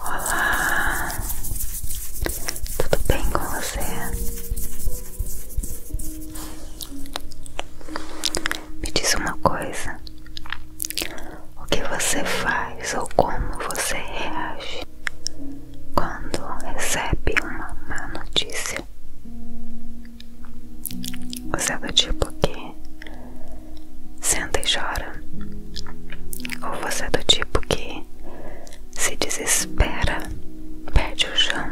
Olá, tudo bem com você? Me diz uma coisa: o que você faz ou como você reage quando recebe uma má notícia. Você é do tipo que senta e chora, ou você é do tipo que se desespera, perde o chão,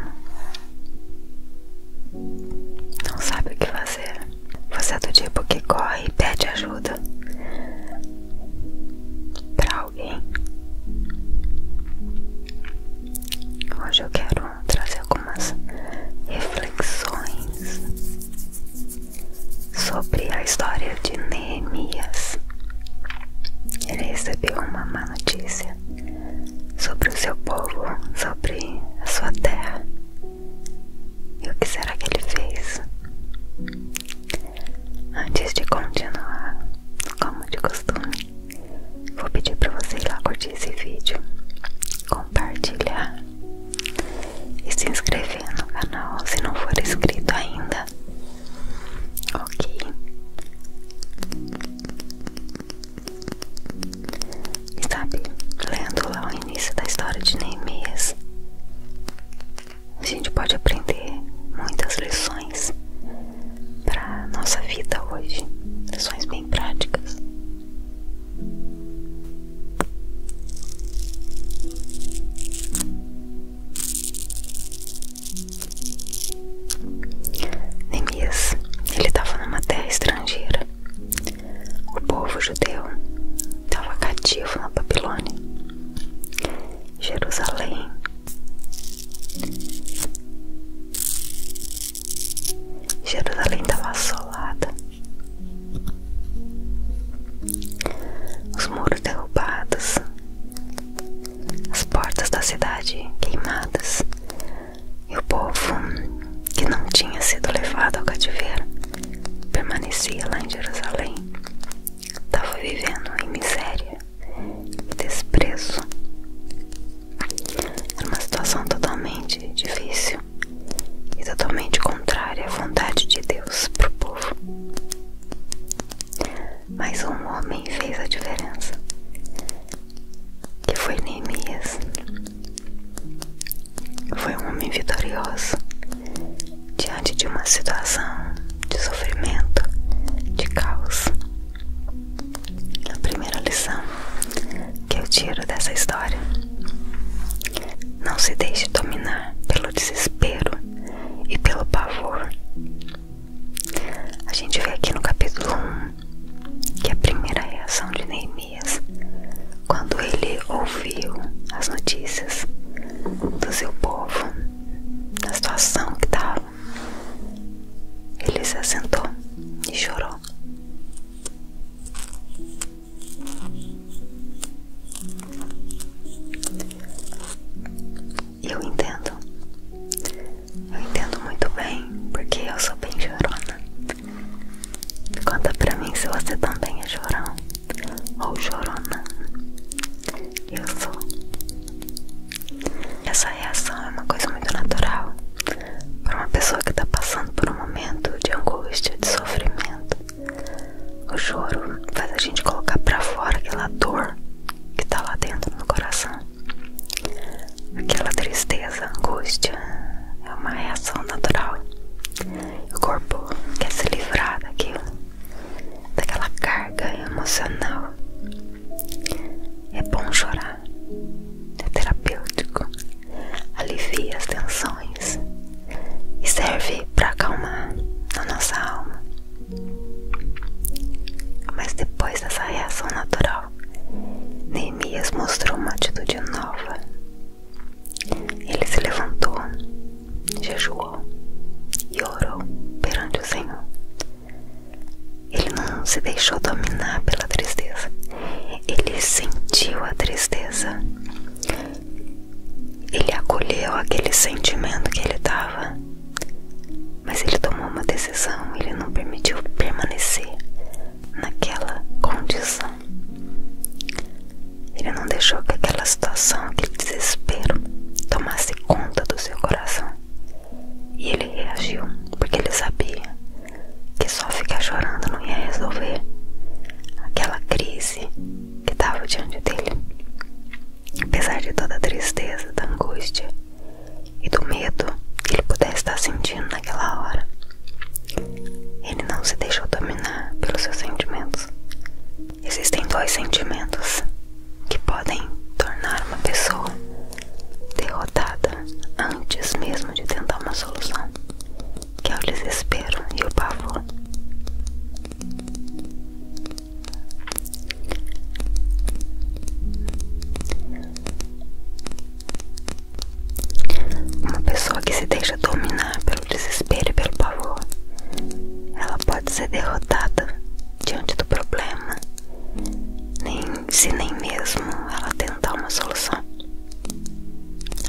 não sabe o que fazer. Você é do tipo que corre e pede ajuda pra para Hoje eu quero trazer algumas reflexões sobre a história de Neemias. Ele recebeu uma má notícia sobre o seu povo, sobre a sua terra. E o que será que ele fez? Antes de continuar, como de costume, vou pedir para você ir lá curtir esse vídeo, compartilhar e se inscrever no canal se não for inscrito ainda. Ok? E sabe, lendo lá o início da história de Neemias, a gente pode aprender muitas lições para nossa vida hoje, lições bem práticas. Neemias, ele estava numa terra estrangeira. O povo judeu estava cativo na Babilônia. Jerusalém Jerusalém estava assolada. Os muros derrubados, as portas da cidade queimadas e o povo que não tinha sido levado ao cativeiro permanecia lá em Jerusalém. Estava vivendo em miséria desprezo. Era uma situação totalmente difícil e totalmente contrária à vontade de Deus para o povo. Mas um homem fez a diferença, que foi Neemias. Foi um homem vitorioso diante de uma situação de sofrimento, de caos. A primeira lição que eu tiro dessa história: não se deixe dominar pelo desespero e pelo pavor. A gente vê aqui no capítulo 1 que a primeira reação de Neemias, quando ele ouviu as notícias do seu povo, da situação que estava ele se assentou e chorou. Eu entendo, eu entendo muito bem, porque eu sou bem chorona. Conta pra mim se você também é chorão ou chorona. Eu sou. Essa reação é uma coisa muito natural para uma pessoa que está passando por um momento de angústia, de sofrimento. O choro faz a gente colocar para fora aquela dor que está lá dentro no coração. Aquela tristeza, angústia é uma reação natural. O corpo quer se livrar daquilo daquela carga emocional. É bom chorar, é terapêutico, alivia as tensões e serve para acalmar a nossa alma. Mas depois dessa reação natural, Neemias mostrou uma atitude nova. Ele se levantou, jejuou e orou perante o Senhor. Ele não se deixou dominar pela tristeza. Ele sentiu a tristeza. Ele acolheu aquele sentimento que ele estava. Mas ele tomou uma decisão, ele não permitiu permanecer naquela condição. Ele não deixou que aquela situação, aquele desespero tomasse conta do seu coração. E ele reagiu, porque ele sabia que só ficar chorando não ia resolver aquela crise que estava diante dele. Apesar de toda a tristeza, da angústia e do medo que ele pudesse estar sentindo naquela hora, ele não se deixou dominar pelos seus sentimentos. Existem dois sentimentos que podem tornar uma pessoa derrotada antes mesmo de tentar uma solução, que é o desespero e o pavor. Uma pessoa que se deixa dominar pelo desespero e pelo pavor, ela pode ser derrotada diante do problema, nem se nem mesmo ela tentar uma solução.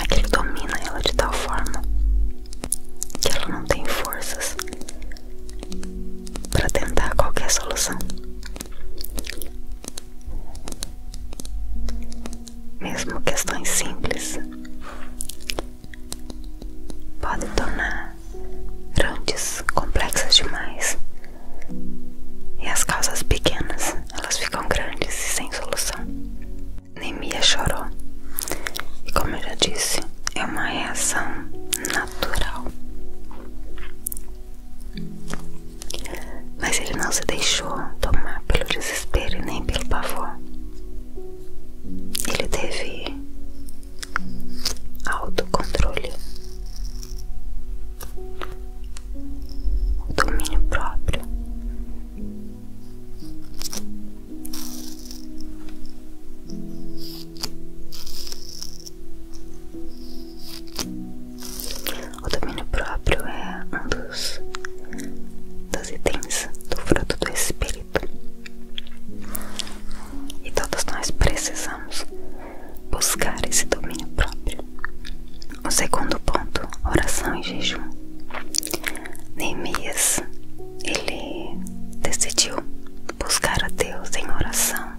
Aquilo domina ela de tal forma que ela não tem forças para tentar qualquer solução. Mesmo questões simples podem tornar grandes, complexas demais. E as causas pequenas, elas ficam grandes e sem solução. Nemia chorou. E como eu já disse, é uma reação natural. Mas ele não se deixou tomar pelo desespero e nem pelo pavor. Ele teve autocontrole, domínio próprio. O domínio próprio é um dos, dos itens do fruto do espírito. E todos nós precisamos buscar esse domínio próprio. O segundo ponto, oração e jejum. Neemias, ele decidiu buscar a Deus em oração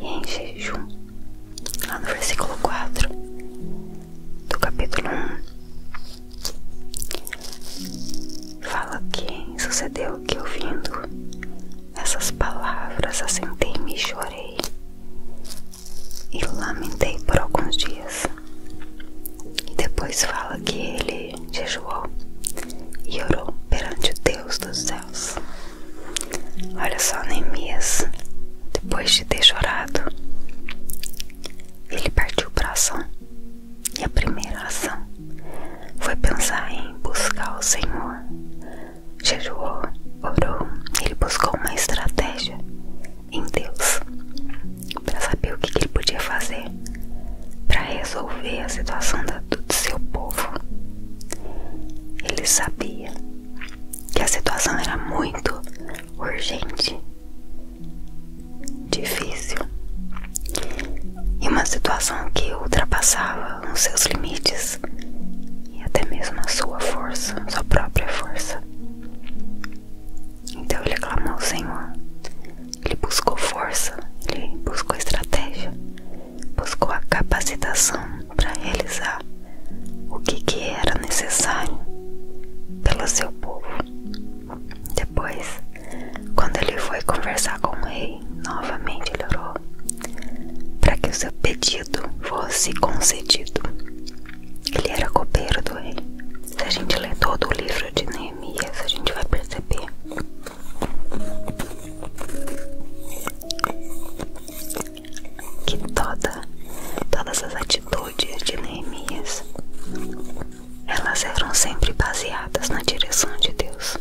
e em jejum. Lá no versículo 4 do capítulo 1, fala que sucedeu que eu ouvindo essas palavras, assentei-me e chorei, e lamentei por alguns dias. E depois fala que ele jejuou e orou perante o Deus dos céus. Olha só, Neemias, depois de ter chorado, ele partiu para ação. E a primeira ação foi pensar em buscar o Senhor. Jejuou, orou, ele buscou uma estratégia em Deus para saber o que, ele podia fazer para resolver a situação do seu povo. Ele sabia que a situação era muito urgente, difícil e uma situação que ultrapassava extrapolam seus limites e até mesmo a sua força, sua própria força. Então ele clamou ao Senhor, ele buscou força, ele buscou estratégia, buscou a capacitação para realizar o que, que era necessário pelo seu povo. Depois, quando ele foi conversar com o rei, novamente ele orou para que o seu pedido fosse concedido. Ele era copeiro do rei. Se a gente ler todo o livro de Neemias, a gente vai perceber que toda, todas as atitudes de Neemias elas eram sempre baseadas na direção de Deus.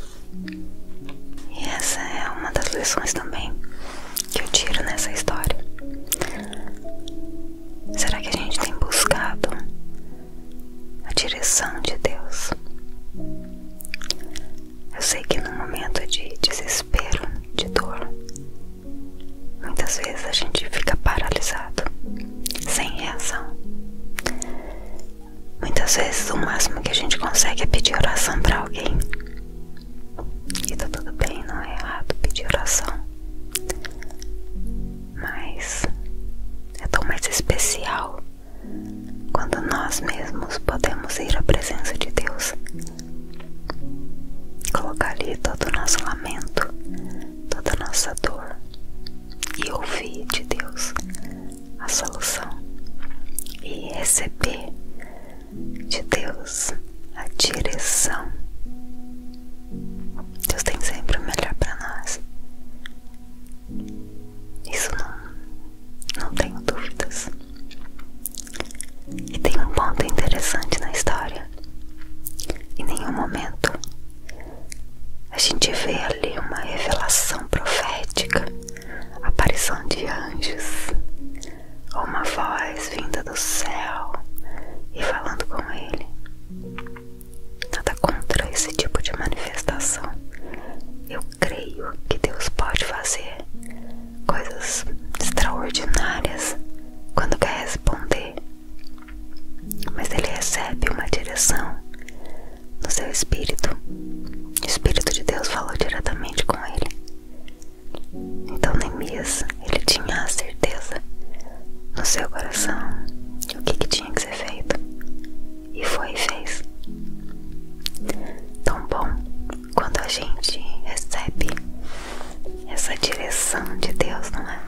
E essa é uma das lições também que eu tiro nessa história. Será que a gente tem buscado a direção de Deus? Eu sei que no momento de desespero, de dor, muitas vezes a gente fica paralisado, sem reação. Muitas vezes o máximo que a gente consegue é pedir oração para alguém. E tá tudo bem, não é errado pedir oração. Mas é tão mais especial quando nós mesmos podemos ir à presença de Deus, colocar ali todo o nosso lamento, toda a nossa dor e ouvir de Deus a solução e receber de Deus a direção. Deus tem sempre o melhor para nós. Isso não, não tenho dúvidas. E tem um ponto interessante na história. Em nenhum momento a gente vê ali uma revelação profética aparição de anjos, ou uma voz vinda do céu e falando com ele. Nada contra esse tipo de manifestação. Eu creio que Deus pode fazer coisas extraordinárias quando quer responder, mas ele recebe uma direção no seu espírito o Espírito de Deus falou diretamente com ele. Então Neemias, ele tinha a certeza no seu coração o que, que tinha que ser feito. E foi e fez. Tão bom quando a gente recebe essa direção de Deus, não é?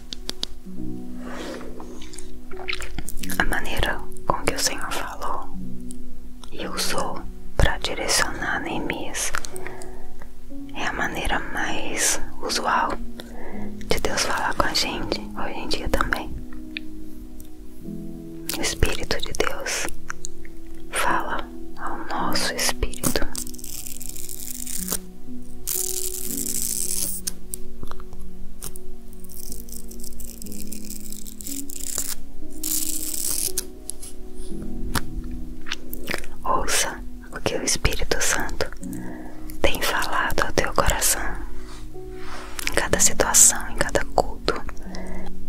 A maneira com que o Senhor falou e usou para direcionar Neemias é a maneira mais usual de Deus falar com a gente hoje em dia também. O Espírito de Deus fala ao nosso espírito. Ouça o que o Espírito Santo tem falado ao teu coração em cada situação, em cada culto,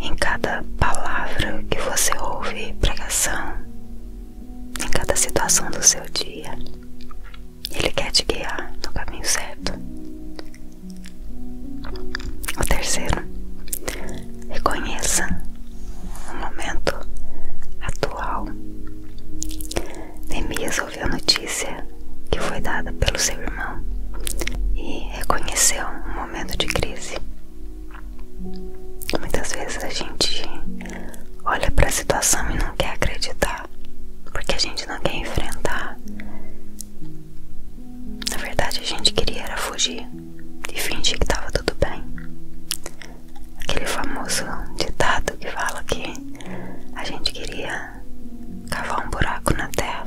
em cada palavra que você ouve pregação, em cada situação do seu dia. Ele quer te guiar no caminho certo. O terceiro, reconheça o momento atual. Neemias ouviu a notícia que foi dada pelo seu irmão e reconheceu um momento de crise. Muitas vezes a gente olha para a situação e não quer acreditar porque a gente não quer enfrentar. Na verdade, a gente queria era fugir e fingir que tava tudo bem. Aquele famoso ditado que fala que a gente queria cavar um buraco na terra,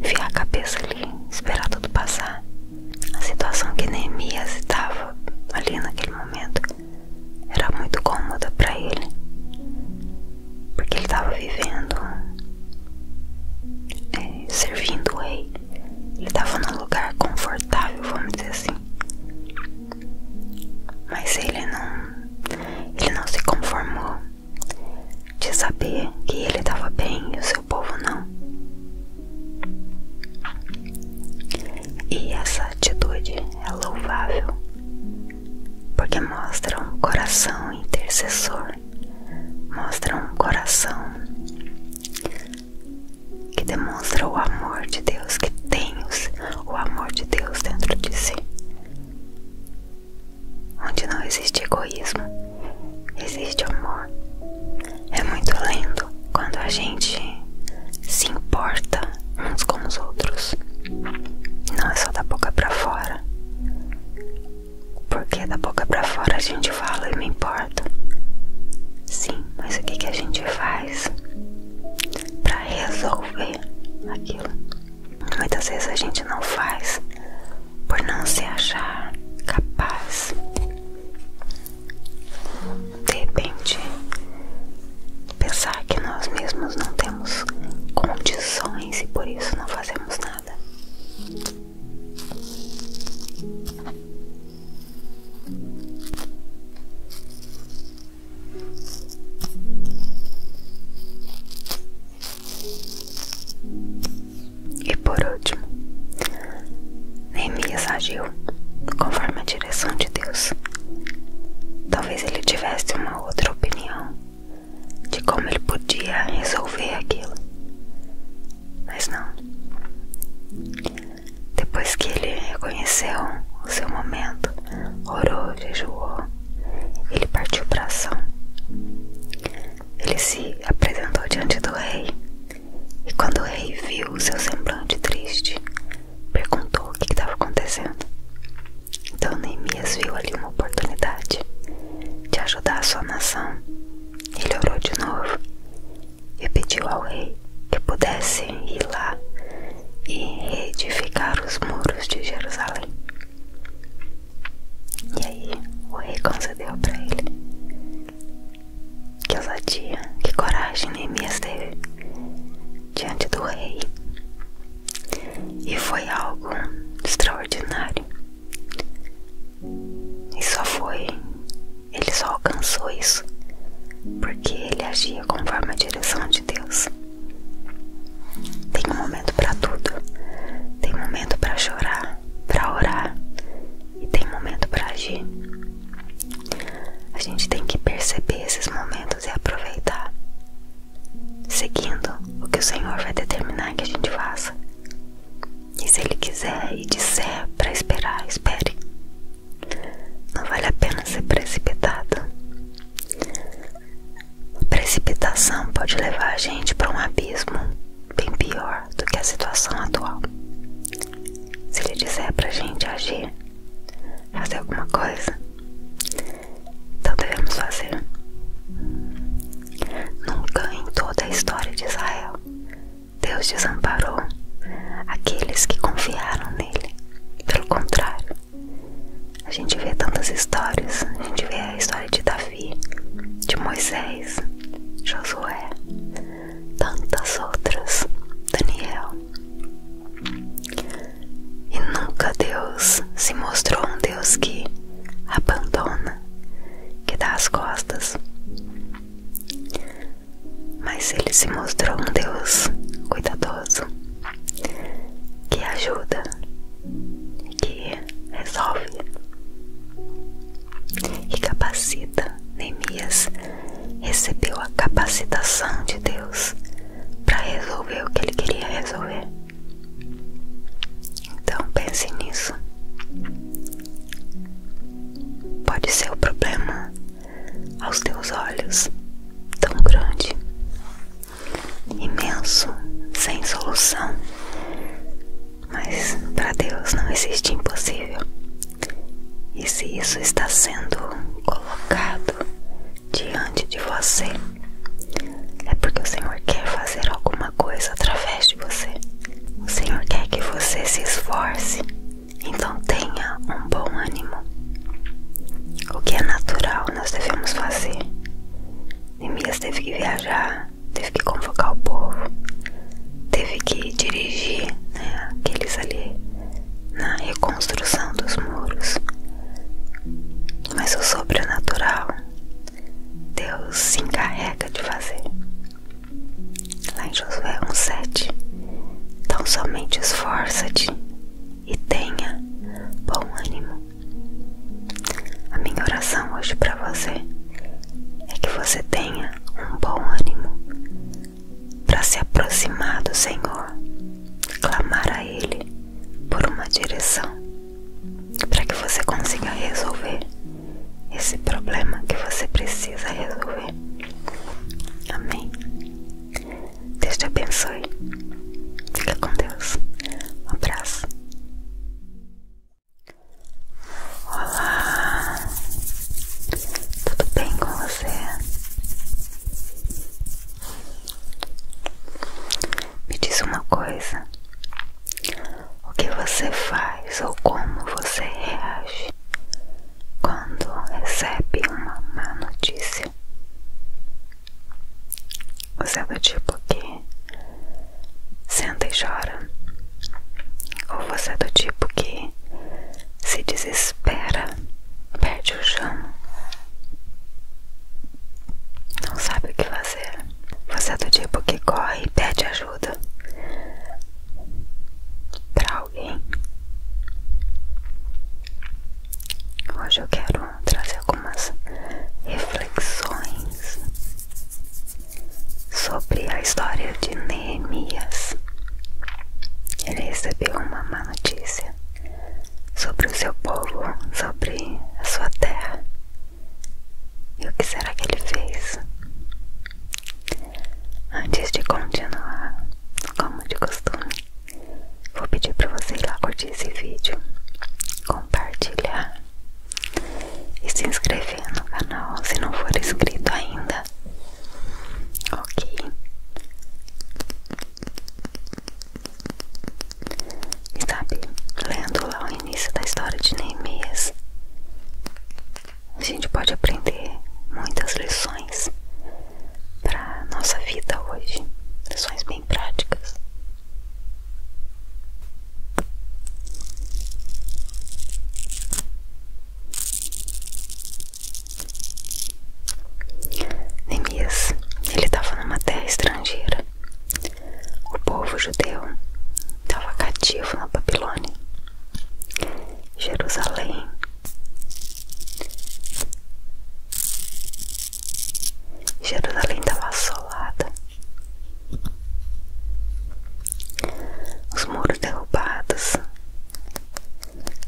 enfiar a cabeça ali, esperar tudo passar. A situação que Neemias estava ali naquele momento era muito cômoda para ele, porque ele estava vivendo, é, servindo o rei, ele estava num lugar confortável, vamos dizer assim. Mas ele não, ele não se conformou de saber que ele estava bem e o seu povo não. E essa atitude é louvável porque mostra um coração intercessor, mostra um coração que demonstra o amor de Deus, que tem o amor de Deus dentro de si. Onde não existe egoísmo, existe amor. É muito lindo quando a gente se importa uns com os outros. Não é só da boca para fora. Porque da boca para fora a gente fala e me importa. Sim, mas o que, que a gente faz para resolver aquilo? Muitas vezes a gente não faz por não se achar capaz. De repente Pensar que nós mesmos não temos condições e por isso não fazemos nada. E por último, Neemias agiu conforme a direção de Deus. Talvez ele tivesse uma outra opinião de como ele podia resolver aquilo. Mas não. Depois que ele reconheceu o seu momento, orou, jejuou, ele partiu para ação. Ele se apresentou diante do rei, e quando o rei viu o seu semblante triste, perguntou o que estava acontecendo. Então Neemias viu ali uma oportunidade de ajudar a sua nação. Ele orou de novo e pediu ao rei que pudesse ir lá e reedificar os muros de Jerusalém. E aí o rei concedeu para ele. Que ousadia, que coragem Neemias teve diante do rei e foi algo extraordinário. E só foi, ele só alcançou isso porque ele agia conforme a direção de Deus. Tem um momento para tudo. Tem momento para chorar, para orar e tem momento para agir. A gente tem que perceber esses momentos e aproveitar seguindo o que o Senhor vai determinar que a gente faça. E se Ele quiser e disser para esperar, espere. Não vale a pena ser precipitado. Precipitação pode levar a gente para um abismo bem pior do que a situação atual. Se Ele disser para a gente agir, fazer alguma coisa, então devemos fazer. Nunca em toda a história de Israel Deus desamparou aqueles que confiaram nele. Pelo contrário, a gente vê tantas histórias. A gente vê a história de Davi, de Moisés, Josué, tantas outras, Daniel. E nunca Deus se mostrou um Deus que abandona, que dá as costas. Mas ele se mostrou um Deus cuidadoso, que ajuda, que resolve e capacita. Neemias recebeu a capacitação de Deus para resolver o que ele queria resolver. Então pense nisso. Pode ser o problema aos teus olhos tão grande, imenso, sem solução. Mas para Deus não existe impossível. E se isso está sendo colocado diante de você, é porque o Senhor quer fazer alguma coisa através de você. O Senhor quer que você se esforce, então tenha um bom ânimo. O que é natural nós devemos fazer. Neemias teve que viajar, teve que convocar o povo, teve que dirigir né, aqueles ali na reconstrução dos muros mas o sobrenatural Deus se encarrega de fazer. Lá em Josué 1,7 Então somente esforça-te e tenha bom ânimo. A minha oração hoje para você é que você tenha um bom ânimo para se aproximar do Senhor, clamar a Ele por uma direção para que você consiga resolver esse problema que você precisa resolver. Amém. Deus te abençoe. Fica com Deus. Um abraço. Olá. Tudo bem com você? Me diz uma coisa: o que você faz ou como você reage quando recebe uma má notícia? Você é do tipo que senta e chora? Ou você é do tipo que se desespera, perde o chão? não sabe o que fazer. Você é do tipo que corre e pede ajuda para alguém. Hoje eu quero trazer algumas reflexões sobre a história de Neemias. Ele recebeu uma má notícia sobre o seu povo, sobre a sua terra. E o que será que ele fez? Antes de continuar, como de costume, vou pedir para vocês lá curtir esse vídeo, compartilhar e se inscrever no canal se não for inscrito ainda. Ok? E sabe, lendo lá o início da história de Neemias, a gente pode aprender muitas lições para nossa vida hoje, lições bem práticas. Neemias, ele estava numa terra estrangeira o povo judeu estava cativo na Babilônia. Jerusalém Jerusalém estava assolada. Os muros derrubados,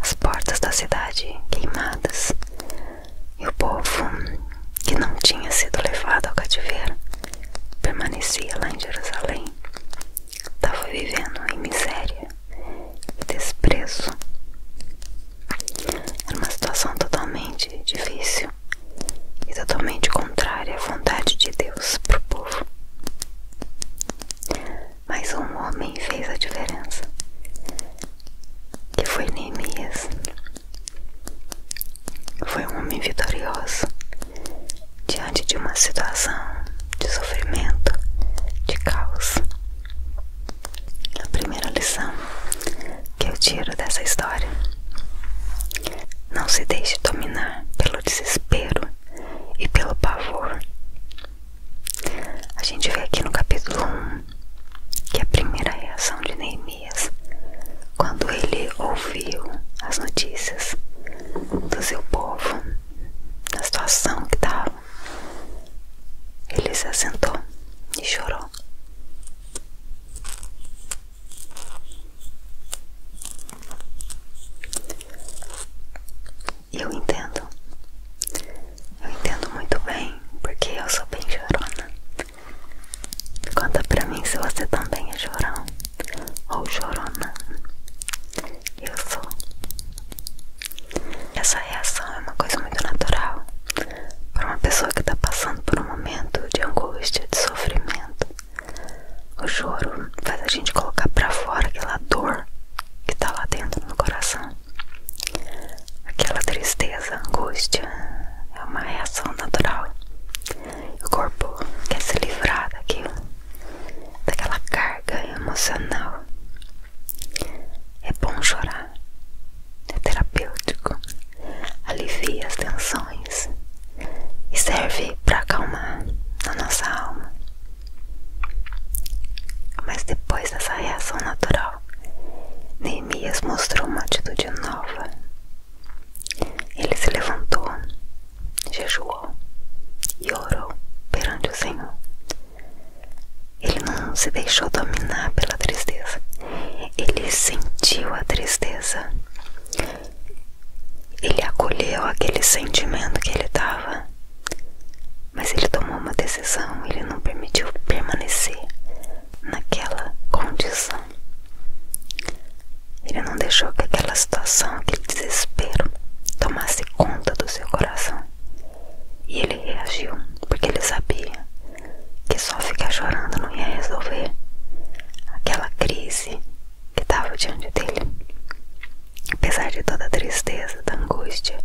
as portas da cidade queimadas, e o povo que não tinha sido levado ao cativeiro permanecia lá em Jerusalém. Estava tá, vivendo em miséria e desprezo. Era uma situação totalmente difícil e totalmente contrária à vontade de Deus para o povo. Mas um homem fez a diferença, que foi Neemias, foi um homem vitorioso diante de uma situação de sofrimento, de caos. A primeira lição que eu tiro dessa história: não se deixe dominar pelo desespero e pelo pavor. A gente vê aqui no capítulo 1 que a primeira reação de Neemias quando ele ouviu as notícias do seu povo, da situação que estava. Ele se assentou e chorou. Eu entendo, eu entendo muito bem, porque eu sou bem chorona. Conta pra mim se você também é chorão ou chorona. Eu sou. Essa reação é uma coisa muito natural para uma pessoa que está passando por um momento de angústia, de sofrimento. O choro faz a gente colocar pra fora aquela dor que tá lá dentro no coração, aquela tristeza, angústia, é uma reação natural. O corpo quer se livrar daquilo, daquela carga emocional. É bom chorar, é terapêutico, alivia as tensões e serve para acalmar a nossa alma. Mas depois dessa reação natural, Neemias mostrou uma atitude nova ele se levantou, jejuou e orou perante o Senhor. Ele não se deixou dominar pela tristeza. Ele sentiu a tristeza. Ele acolheu aquele sentimento que ele estava. Mas ele tomou uma decisão, ele não permitiu permanecer naquela condição. Ele não deixou que aquela situação, aquele desespero, tomasse conta do seu coração. E ele reagiu, porque ele sabia que só ficar chorando não ia resolver aquela crise que estava diante dele. Apesar de toda a tristeza, da angústia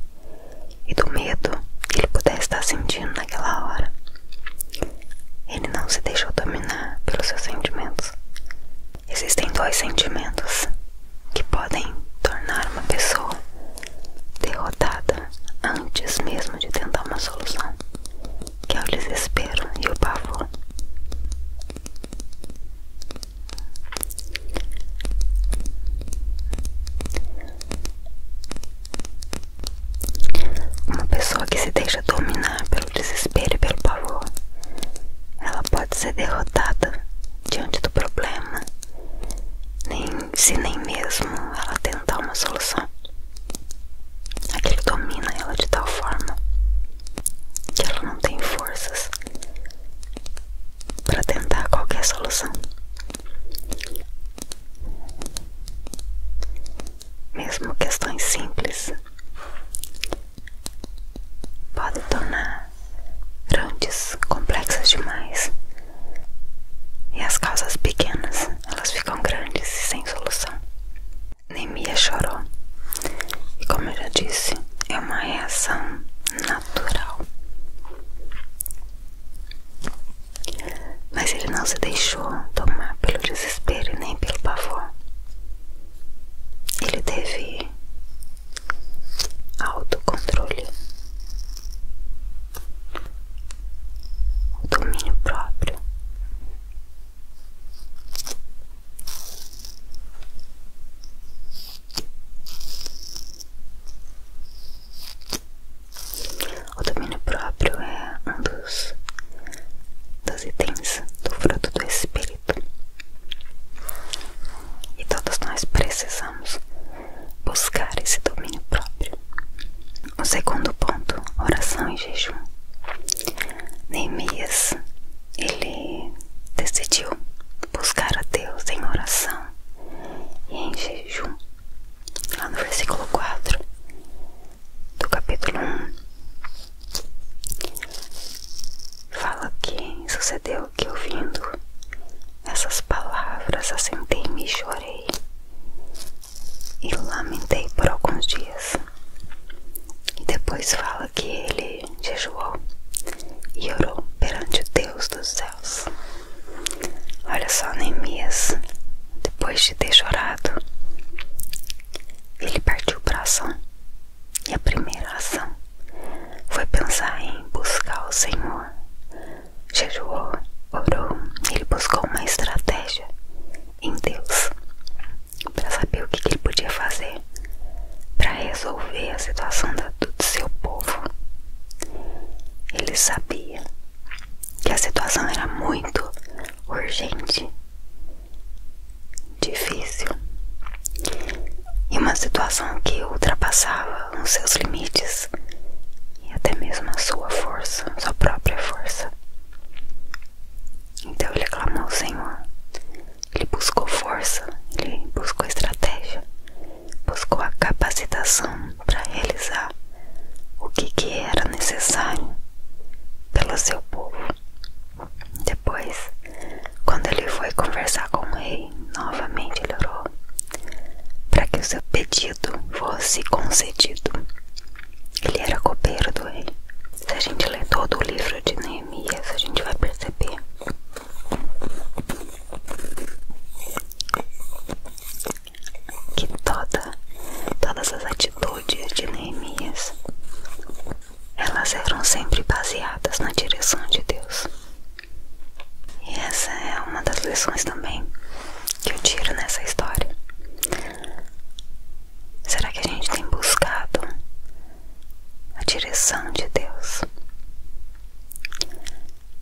e do medo que ele pudesse estar sentindo naquela hora, ele não se deixou dominar pelos seus sentimentos. Existem dois sentimentos que podem tornar uma pessoa derrotada antes mesmo de tentar uma solução, que é o desespero e o pavor. Uma pessoa que se deixa dominar pelo desespero e pelo pavor, ela pode ser derrotada diante do problema, se nem mesmo ela tentar uma solução. Aquilo domina ela de tal forma que ela não tem forças para tentar qualquer solução mesmo questões simples, podem tornar grandes complexas demais. E as causas pequenas, elas ficam grandes e sem solução. Nemia chorou. E como eu já disse, é uma reação natural. Mas ele não se deixou tomar pelo desespero e nem pelo pavor. Ele teve autocontrole, domínio próprio. O domínio próprio é um dos, dos itens do fruto do Espírito. E todos nós precisamos buscar esse domínio próprio. O segundo ponto, oração e jejum. Neemias, ele decidiu buscar a Deus em oração e em jejum. Lá no versículo 4, do capítulo 1 fala que sucedeu que ouvindo essas palavras assentei-me e chorei e lamentei por alguns dias. E depois fala que ele jejuou e orou perante o Deus dos céus. Olha só, Neemias, depois de ter chorado, ele partiu para ação. E a primeira ação foi pensar em buscar o Senhor. Jejuou, orou, ele buscou uma estratégia em Deus para saber o que, ele podia fazer para resolver a situação da, do seu povo. Ele sabia que a situação era muito urgente, difícil e uma situação que ultrapassava os seus limites e até mesmo a sua força, sua própria força. Então ele clamou ao Senhor, ele buscou força, ele buscou estratégia, buscou a capacitação para realizar o que era necessário pelo seu povo. Depois, quando ele foi conversar com o rei, novamente ele orou para que o seu pedido fosse concedido. Ele era copeiro do rei. Se a gente ler todo o livro de Neemias, a gente vai perceber que toda, todas as atitudes atitudes de Neemias, elas eram sempre baseadas na direção de Deus. E essa é uma das lições também que eu tiro nessa história. Será que a gente tem buscado a direção de Deus?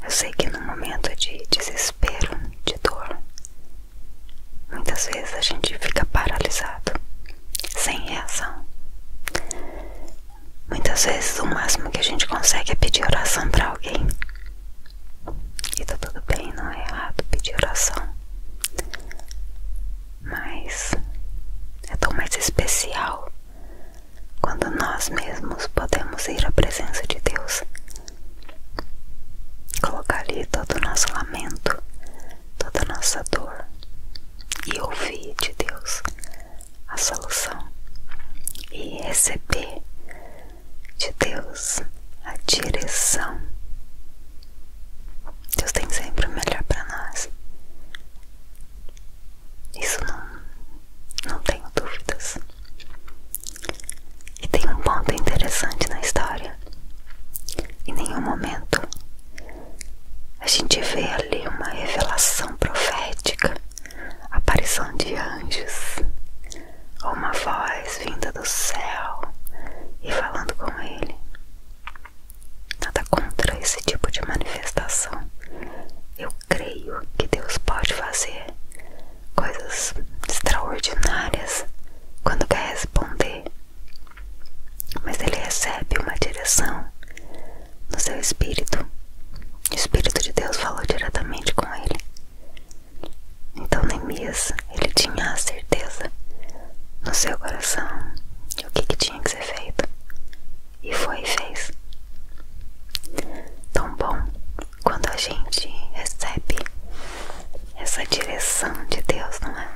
Eu sei que no momento de desespero, de dor, Muitas vezes a gente fica paralisado, sem reação. Muitas vezes o máximo que a gente consegue é pedir oração para alguém. E tá tudo bem, não é errado pedir oração. Mas é tão mais especial quando nós mesmos podemos ir à presença de Deus, colocar ali todo o nosso lamento, toda nossa dor e ouvir de Deus a solução e receber de Deus a direção. Deus tem sempre o melhor para nós. Isso não, não tenho dúvidas. E tem um ponto interessante na história em nenhum momento a gente vê ali uma revelação profética, aparição de anjos, ou uma voz vinda do céu e falando com ele. Nada contra esse tipo de manifestação. Eu creio que Deus pode fazer coisas extraordinárias quando quer responder mas ele recebe uma direção no seu espírito. O espírito de Deus falou diretamente com ele. Então Neemias, ele tinha a certeza no seu coração de o que, que tinha que ser feito. E foi e fez. Tão bom quando a gente recebe essa direção de Deus, não é?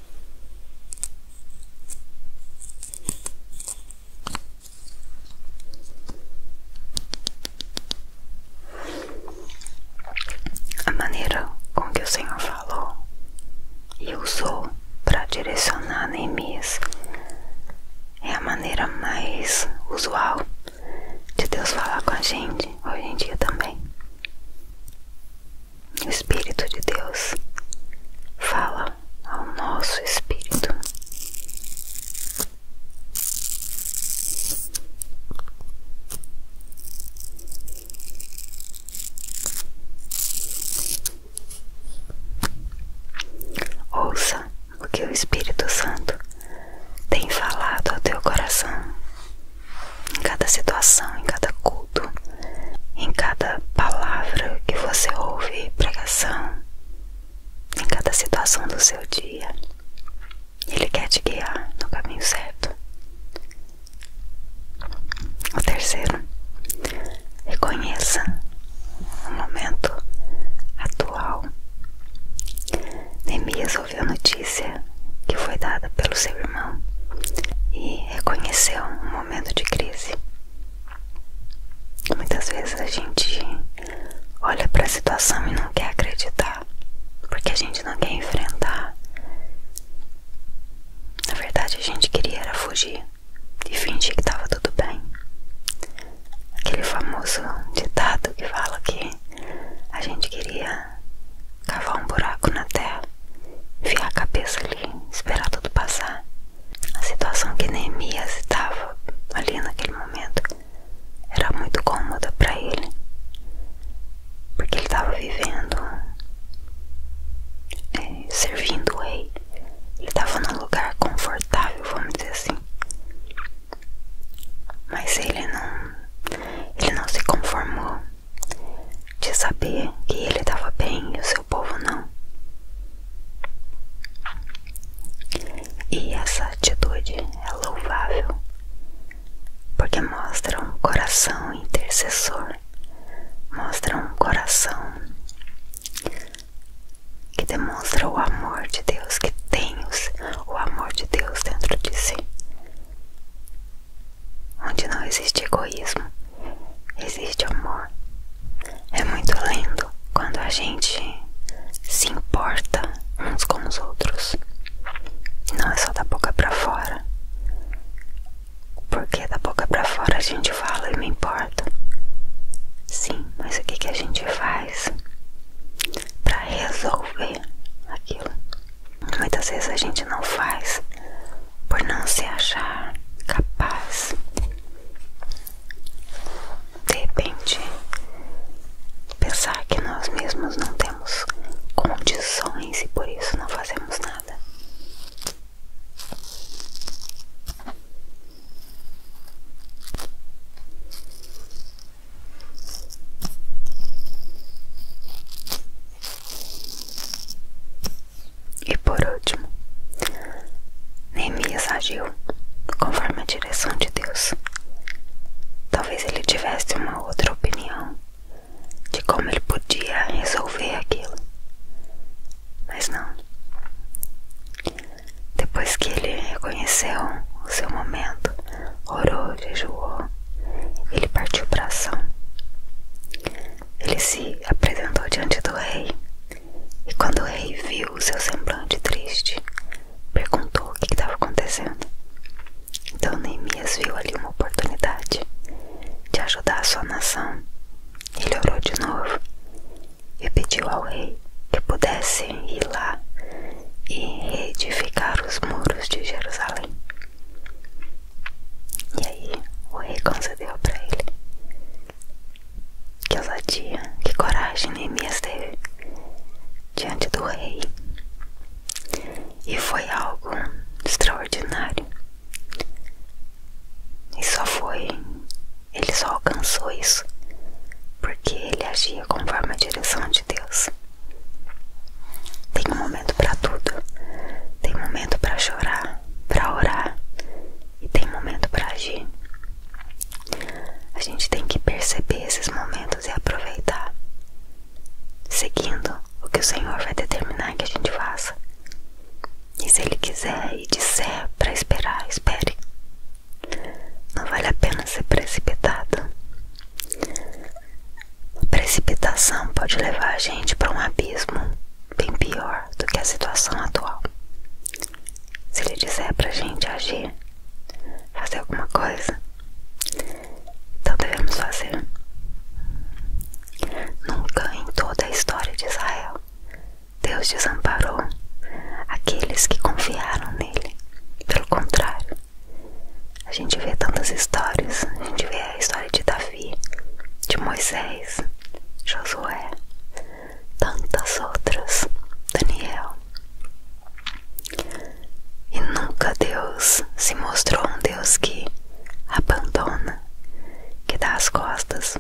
A maneira com que o Senhor falou e usou para direcionar Neemias é a maneira mais usual de Deus falar com a gente hoje em dia também. O Espírito de Deus fala ao nosso espírito. Ouça o que o Espírito Santo tem falado ao teu coração em cada situação, em cada cor em cada palavra que você ouve pregação, em cada situação do seu dia. Ele quer te guiar no caminho certo. O terceiro, reconheça o momento atual. Neemias ouviu a notícia que foi dada pelo seu irmão e reconheceu o momento de crise. Muitas vezes a gente olha para a situação e não quer acreditar, porque a gente não quer enfrentar. Na verdade, a gente queria era fugir e fingir que estava tudo bem. Aquele famoso ditado que fala que a gente queria cavar um buraco na terra, enfiar a cabeça esperar tudo passar. A situação que Neemias estava ali naquele momento era muito cômoda para ele, porque ele estava vivendo, é, servindo o Ele estava num lugar confortável, vamos dizer assim. Mas ele não, ele não se conformou de saber que ele estava bem e o seu povo não. E essa atitude é louvável, porque mostra um coração intercessor, mostra um coração que demonstra o amor de Deus, que tem o amor de Deus dentro de si onde não existe egoísmo, existe amor. É muito lindo quando a gente se importa uns com os outros. Não é só da boca para fora. Porque da boca para fora a gente fala e me importa. Sim, mas o que, que a gente faz para resolver aquilo? Muitas vezes a gente não faz por não se achar capaz. De repente, pensar que nós mesmos não temos condições e por isso não fazemos nada. E por último, Neemias agiu conforme a direção de Deus. Talvez ele tivesse uma outra opinião de como ele podia resolver aquilo, mas não. Depois que ele reconheceu o seu momento, orou, jejuou, ele partiu para ação ele se apresentou diante do rei. E quando o rei viu o seu semblante triste, perguntou o que estava acontecendo. Então Neemias viu ali uma oportunidade de ajudar a sua nação. Ele orou de novo e pediu ao rei que pudesse ir lá e reedificar os muros de Jerusalém. E aí o rei concedeu para ele que ousadia, que coragem Neemias né, teve diante do rei. E foi algo extraordinário. E só foi, ele só alcançou isso porque ele agia conforme a direção de Deus. Tem momento para tudo. Tem momento para chorar, para orar e tem momento para agir. A gente tem que perceber esses momentos e aproveitar, seguindo o que o Senhor vai determinar que a gente faça. E se Ele quiser e disser para esperar, espere. Não vale a pena ser precipitado. precipitação pode levar a gente para um abismo bem pior do que a situação atual. Se ele disser pra gente agir, fazer alguma coisa, então devemos fazer. Nunca em toda a história de Israel Deus desamparou aqueles que confiaram nele. Pelo contrário, a gente vê tantas histórias, a gente vê a história de Davi de Moisés, Josué, tantas outras, Daniel. E nunca Deus se mostrou um Deus que abandona, que dá as costas.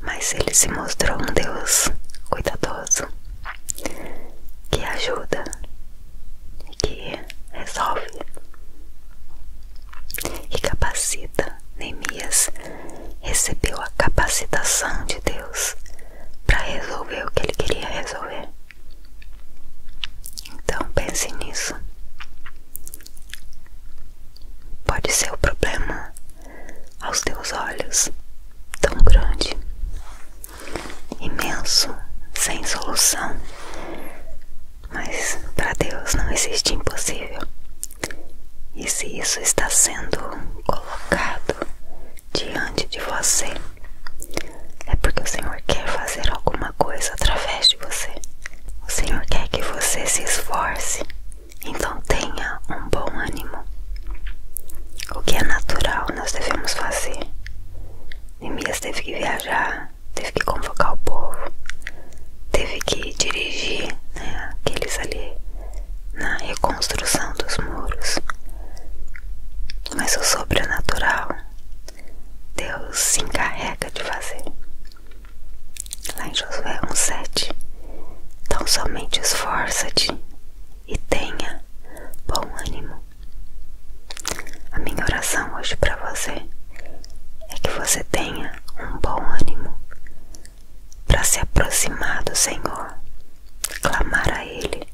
Mas ele se mostrou um Deus cuidadoso, que ajuda, que resolve e capacita. Neemias recebeu a capacitação de Deus para resolver o que ele queria resolver. Então pense nisso. Pode ser o problema aos teus olhos tão grande, imenso, sem solução, mas para Deus não existe impossível. E se isso está sendo colocado diante de você, é porque o Senhor quer fazer alguma coisa através de você. O Senhor quer que você se esforce, então tenha um bom ânimo. O que é natural nós devemos fazer. Neemias teve que viajar teve que convocar o povo, teve que dirigir né, aqueles ali na reconstrução dos muros. Mas o sobrenatural Deus se encarrega de fazer. Lá em Josué 1,7 Então somente esforça-te e tenha bom ânimo. A minha oração hoje para você é que você tenha um bom ânimo para se aproximar do Senhor, clamar a Ele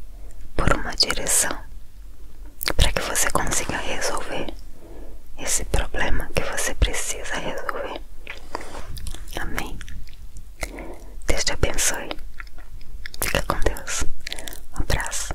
por uma direção, para que você consiga resolver esse problema que você precisa resolver. Amém. Deus te abençoe. Fica com Deus. Um abraço.